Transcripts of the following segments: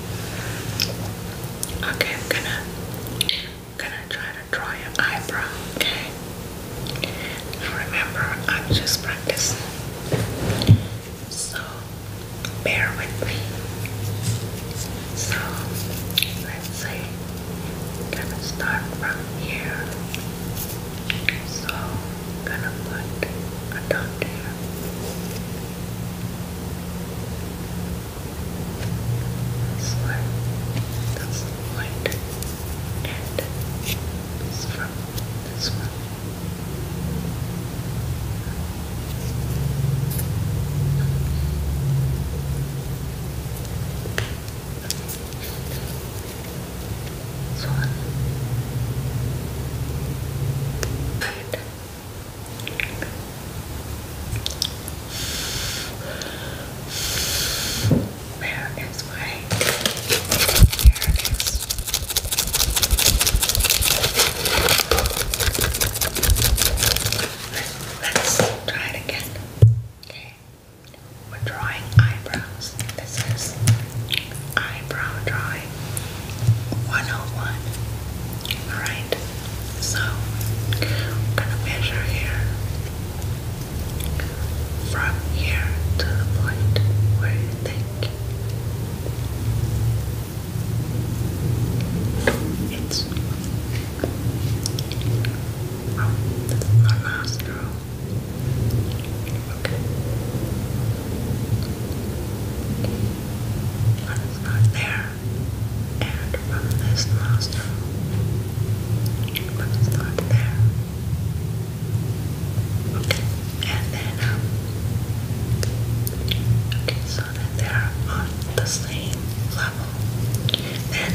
Okay, I'm gonna gonna try to draw your eyebrow, okay? Remember I'm just practicing. So bear with me. So let's see. I'm gonna start from here. So I'm gonna put a dot there. This one, that's white, and this from this one. This one. Where is my Let's, let's try it again. Okay. We're drawing eyebrows. This is eyebrow drawing 101. Alright, so I'm gonna measure here from here to the point where you think it's oh, that's not Okay. there. And from this nostril. But there. Okay. And then um, Okay, so that they're on the same level. Then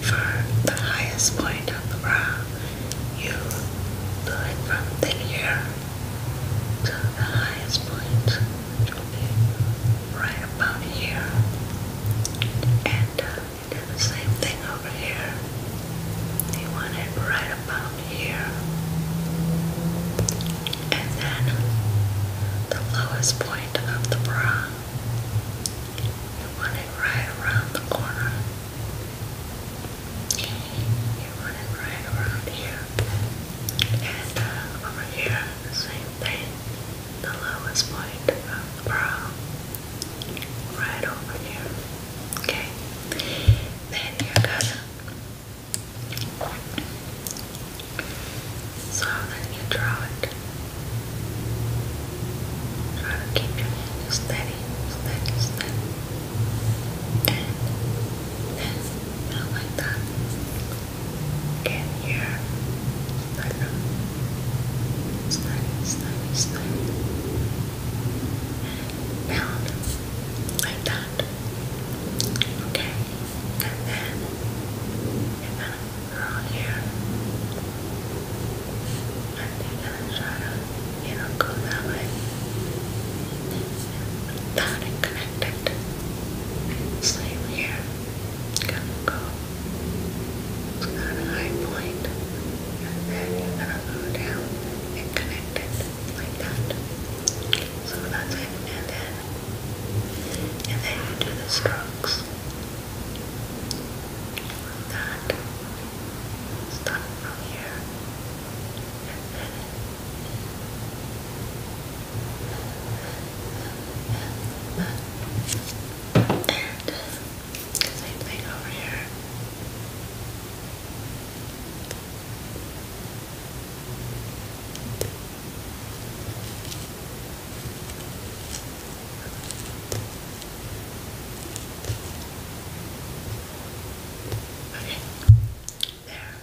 for the highest point of the brow, you do it from thin here the highest point, which be right about here. And uh, do the same thing over here. You want it right about here. And then the lowest point of the bra. You want it right around the corner. You run it right around here. And over here, the same thing. The lowest point of the brow. Right over here. Okay. Then you're gonna so you draw it. Try to keep your hand steady, steady, steady. And this smell like that can hear slime, slimy, slimy, slimy, and pound like that. Okay, and then you here. I think that's right. You don't go that way. It's not connected. Same here. Gonna go. It's a high point. And then you're to go down and connect like that. So that's it. And then and then you do the strokes. That start from here and then and same thing over here. Okay, there.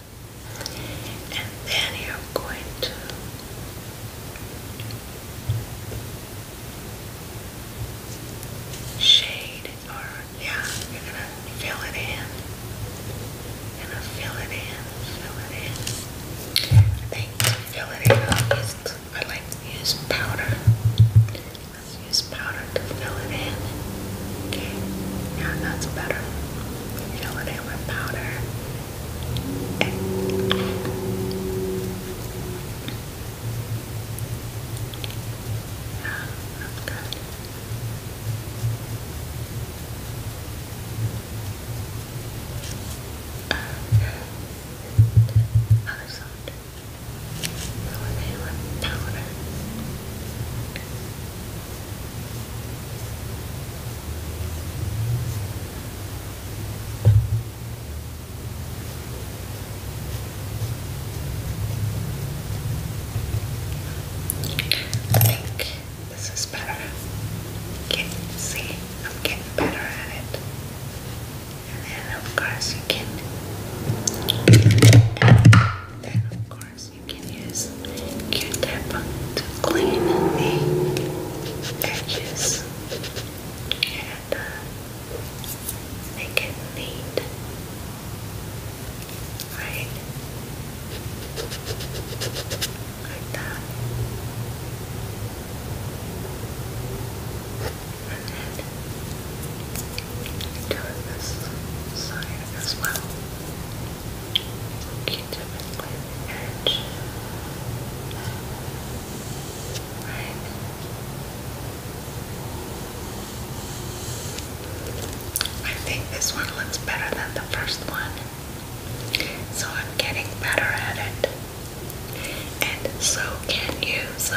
And then you're going to shade, or yeah, you're gonna fill it in. gonna fill it in, fill it in. I think fill it in, I like to powder. Let's use powder to fill it in. Okay, now that's better. Fill it in with powder. Okay. I think this is better. see I'm getting better at it and then of course you can then of course you can use Q-tip to clean the edges and uh, make it neat. Right? Like that doing this side as well. Keep it with the edge. Right. I think this one looks better than the first one. So I'm getting better at it. And so can you. So,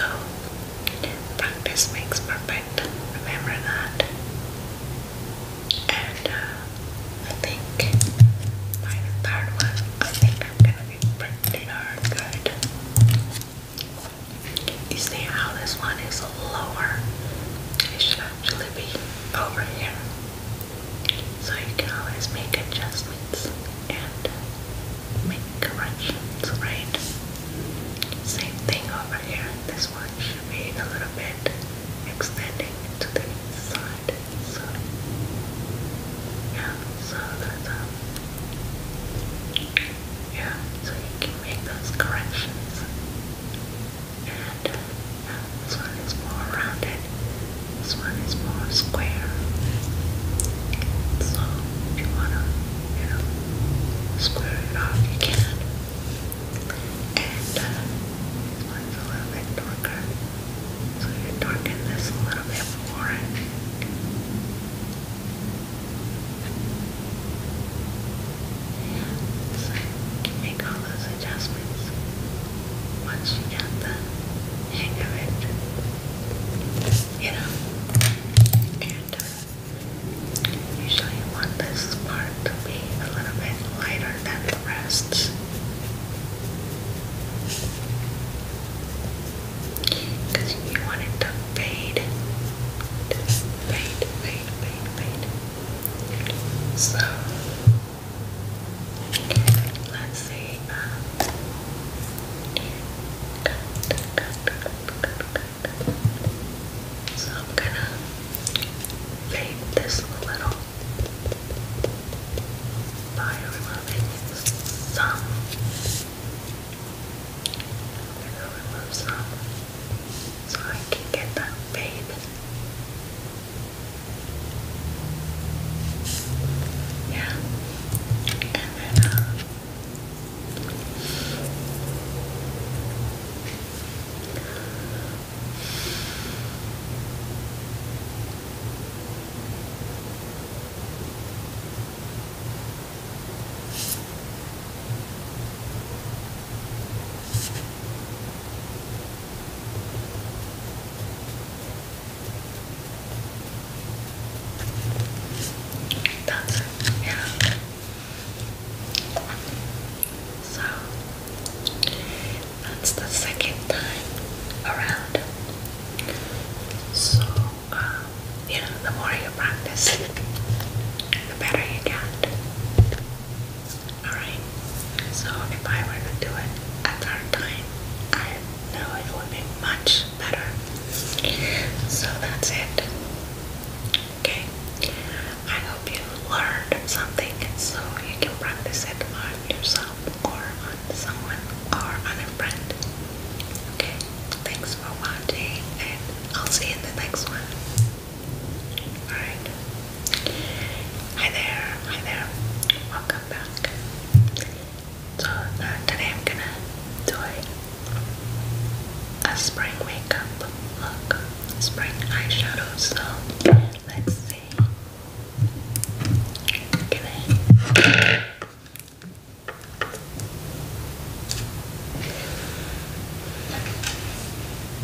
practice makes perfect. Remember that. And uh, I think by third one, I think I'm gonna be pretty darn good. You see how this one is lower? It should actually be over here. So you can always make adjustments and make corrections, right? Same thing over here. This one should be a little bit extending to the side. So yeah, so that's um yeah, so you can make those corrections. And uh, this one is more rounded. This one is more square. So if you wanna, you know, square it off, you can. And uh, a little bit darker. So you darken this a little bit more. Yeah, so you make all those adjustments once you get the hang of it, you know, and uh, usually you want this part to be a little bit lighter than the rest. Because you want it to fade, fade, fade, fade, fade. So Let's see. Um, so I'm gonna fade this a little by removing some. I'm gonna remove some so I can get that fade. Yeah. And then, uh, that's it, So that's the second time around. So um, you know, the more you practice, the better you get. Alright, so if I were to do it at third time, I know it would be much better. So that's it. Okay, I hope you learned something so you can practice it on yourself or on someone or on a friend. Okay, thanks for watching and I'll see you in the next one. Hi there, hi there. Welcome back. So uh, today I'm gonna do a, a spring makeup look. Spring eyeshadow, so let's see.